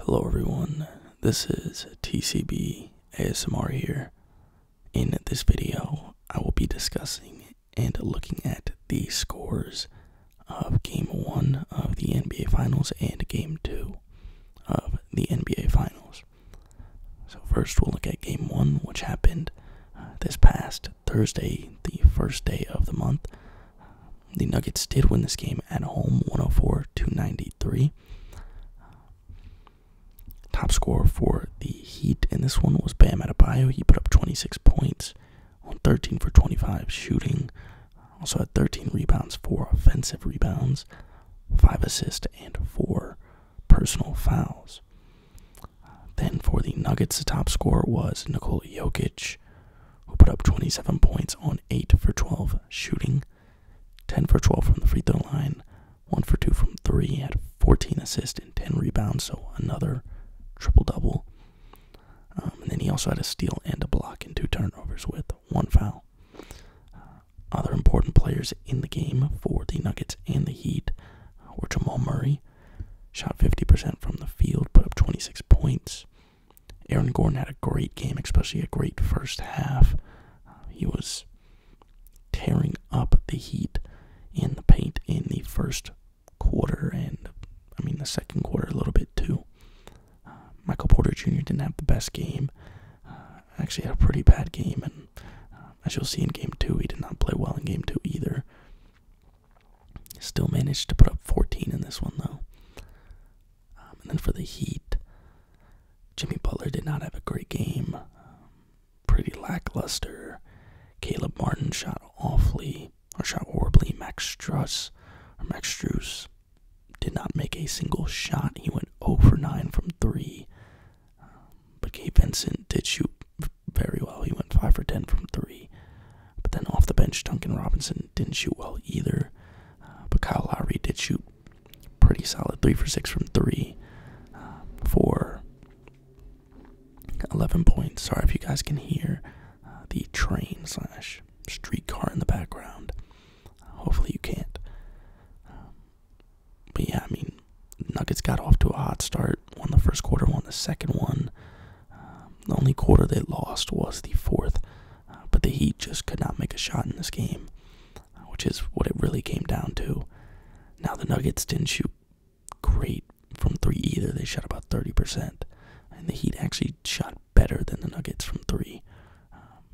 Hello everyone, this is TCB ASMR here. In this video, I will be discussing and looking at the scores of Game 1 of the NBA Finals and Game 2 of the NBA Finals. So, first we'll look at Game 1, which happened uh, this past Thursday, the first day of the month the Nuggets did win this game at home 104 to 93. Top scorer for the Heat in this one was Bam Adebayo. He put up 26 points on 13 for 25 shooting. Also had 13 rebounds, 4 offensive rebounds, 5 assists, and 4 personal fouls. Then for the Nuggets, the top scorer was Nikola Jokic, who put up 27 points on 8 for 12 shooting. 10 for 12 from the free throw line, 1 for 2 from 3, he had 14 assists and 10 rebounds, so another triple double. Um, and then he also had a steal and a block and two turnovers with one foul. Uh, other important players in the game for the Nuggets and the Heat were Jamal Murray, shot 50% from the field, put up 26 points. Aaron Gordon had a great game, especially a great first half. he was tearing up the Heat in the paint in the first quarter, and I mean the second quarter a little bit too. Uh, Michael Porter Jr. didn't have the best game. Uh, actually, had a pretty bad game, and uh, as you'll see in Game Two, he did not play well in Game Two either. Still managed to put up 14 in this one though. Um, and then for the Heat, Jimmy Butler did not have a great game. Um, pretty lackluster. Caleb Martin shot awfully, or shot horribly. Max Struss, or Max Struess, did not make a single shot. He went 0 for 9 from 3. Um, but Gabe Vincent did shoot very well. He went 5 for 10 from 3. But then off the bench, Duncan Robinson didn't shoot well either. Uh, but Kyle Lowry did shoot pretty solid three for six from three uh, for 11 points. Sorry if you guys can hear uh, the train slash streetcar in the background. Uh, hopefully you can't. Um, but yeah, I mean, Nuggets got off to a hot start. Won the first quarter, won the second one. Um, the only quarter they lost was the fourth. Uh, but the Heat just could not make a shot in this game, uh, which is what it really came down to. Now, the Nuggets didn't shoot great from three either. They shot about 30%. And the Heat actually shot better than the Nuggets from three. Um,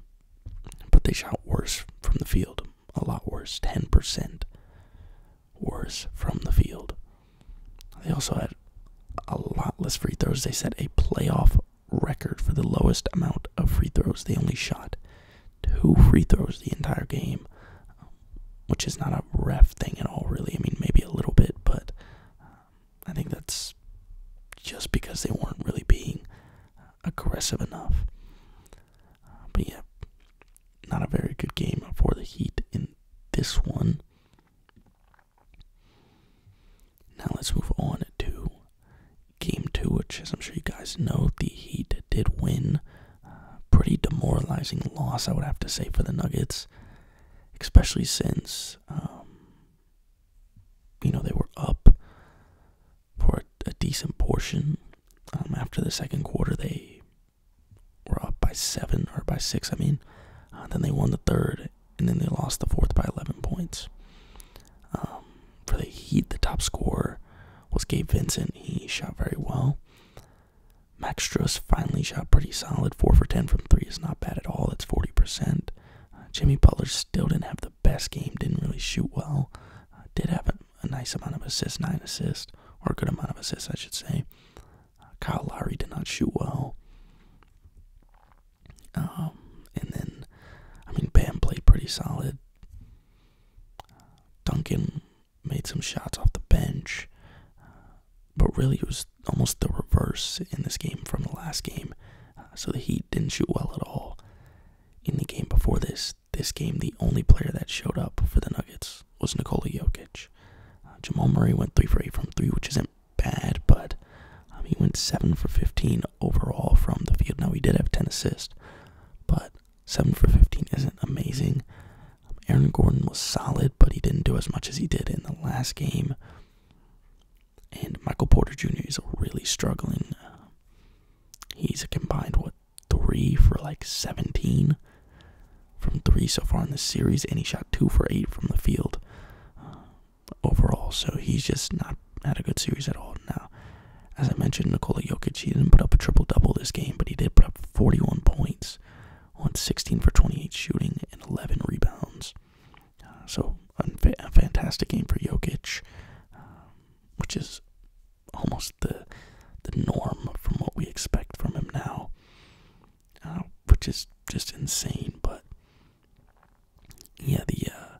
but they shot worse from the field. A lot worse. 10% worse from the field. They also had a lot less free throws. They set a playoff record for the lowest amount of free throws. They only shot two free throws the entire game, which is not a ref thing at all, really. I mean, maybe a little bit, but um, I think that's just because they weren't really being aggressive enough. But yeah, not a very good game for the Heat in this one. Now let's move on to game two, which, as I'm sure you guys know, the Heat did win. Uh, pretty demoralizing loss, I would have to say, for the Nuggets, especially since, um, you know, they were up for a, decent portion. Um, after the second quarter, they were up by seven or by six, I mean. Uh, then they won the third, and then they lost the fourth by 11 points. Um, for the Heat, the top scorer was Gabe Vincent. He shot very well. Max Struss finally shot pretty solid. 4 for 10 from 3 is not bad at all. That's 40%. Uh, Jimmy Butler still didn't have the best game, didn't really shoot well. Uh, did have a, nice amount of assists, 9 assists, or a good amount of assists, I should say. Uh, Kyle Lowry did not shoot well. Um, and then, I mean, Bam played pretty solid. Duncan made some shots off the bench, but really it was almost the reverse in this game from the last game. Uh, so the Heat didn't shoot well at all in the game before this. This game, the only player that showed up for the Nuggets was Nikola Jokic. Uh, Jamal Murray went three for eight from three, which is bad, but um, he went 7 for 15 overall from the field. Now, he did have 10 assists, but 7 for 15 isn't amazing. Aaron Gordon was solid, but he didn't do as much as he did in the last game. And Michael Porter Jr. is really struggling. he's a combined, what, 3 for like 17 from 3 so far in the series, and he shot 2 for 8 from the field overall. So he's just not had a good series at all. Now, as I mentioned, Nikola Jokic, he didn't put up a triple double this game, but he did put up 41 points on 16 for 28 shooting and 11 rebounds. Uh, so a fantastic game for Jokic, um, which is almost the the norm from what we expect from him now, uh, which is just insane. But yeah, the uh,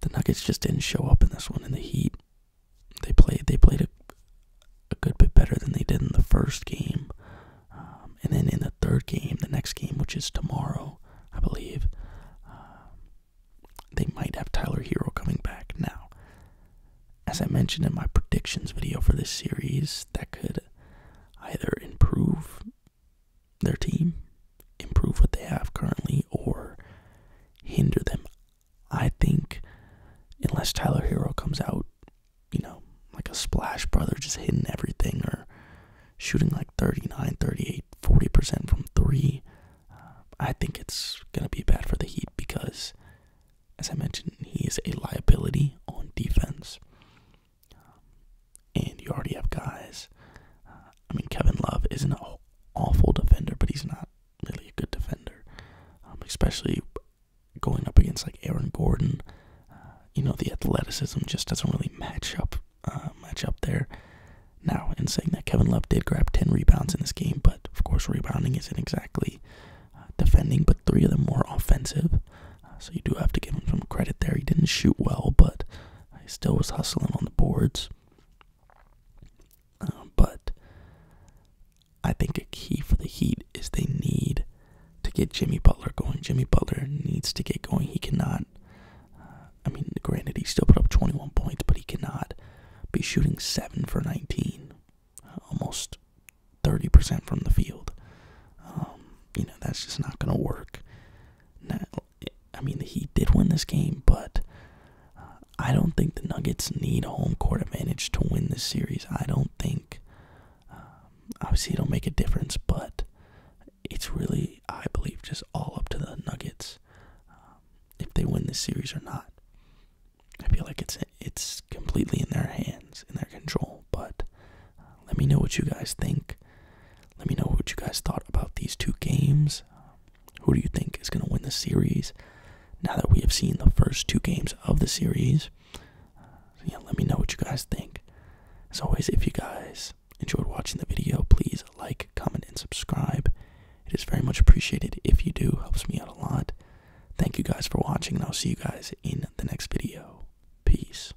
the Nuggets just didn't show up in this one. In the Heat, they played they played a, a good bit better than they did in the first game, um, and then in the third game, the next game, which is tomorrow, I believe, um, they might have Tyler Hero coming back now. As I mentioned in my predictions video for this series, that could either improve their team, improve what they have currently, or hinder them. I think unless Tyler Hero comes out, you know, like a splash brother, just hitting everything or shooting like 39, 38, 40% from three, uh, I think it's going to be bad for the Heat because, as I mentioned, he is a liability on defense. Um, and you already have guys. Uh, I mean, Kevin Love isn't an awful defender, but he's not really a good defender, um, especially going up against like Aaron Gordon. Uh, you know, the athleticism just doesn't really match up uh, match up there. Now, in saying that, Kevin Love did grab 10 rebounds in this game, but of course, rebounding isn't exactly defending, but three of them were offensive. so you do have to give him some credit there. He didn't shoot well, but I still was hustling on the boards. Uh, but I think a key for the Heat is they need to get Jimmy Butler going. Jimmy Butler needs to get going. He cannot. Uh, I mean, granted, he still put up 21 points, but he cannot be shooting 7 for 19, uh, almost 30% from the field. Um, you know, that's just not going to work. Not, I mean, he did win this game, but uh, I don't think the Nuggets need home court advantage to win this series. I don't think. Um, obviously, it'll make a difference, but it's really, I believe, just all up to the Nuggets um, if they win this series or not. I feel like it's it's completely in their hands, in their control. But uh, let me know what you guys think. Let me know what you guys thought about these two games. who do you think is going to win the series? Now that we have seen the first two games of the series, let me know what you guys think. As always, if you guys enjoyed watching the video, please like, comment, and subscribe. It is very much appreciated if you do, helps me out a lot. Thank you guys for watching, and I'll see you guys in the next video. Peace.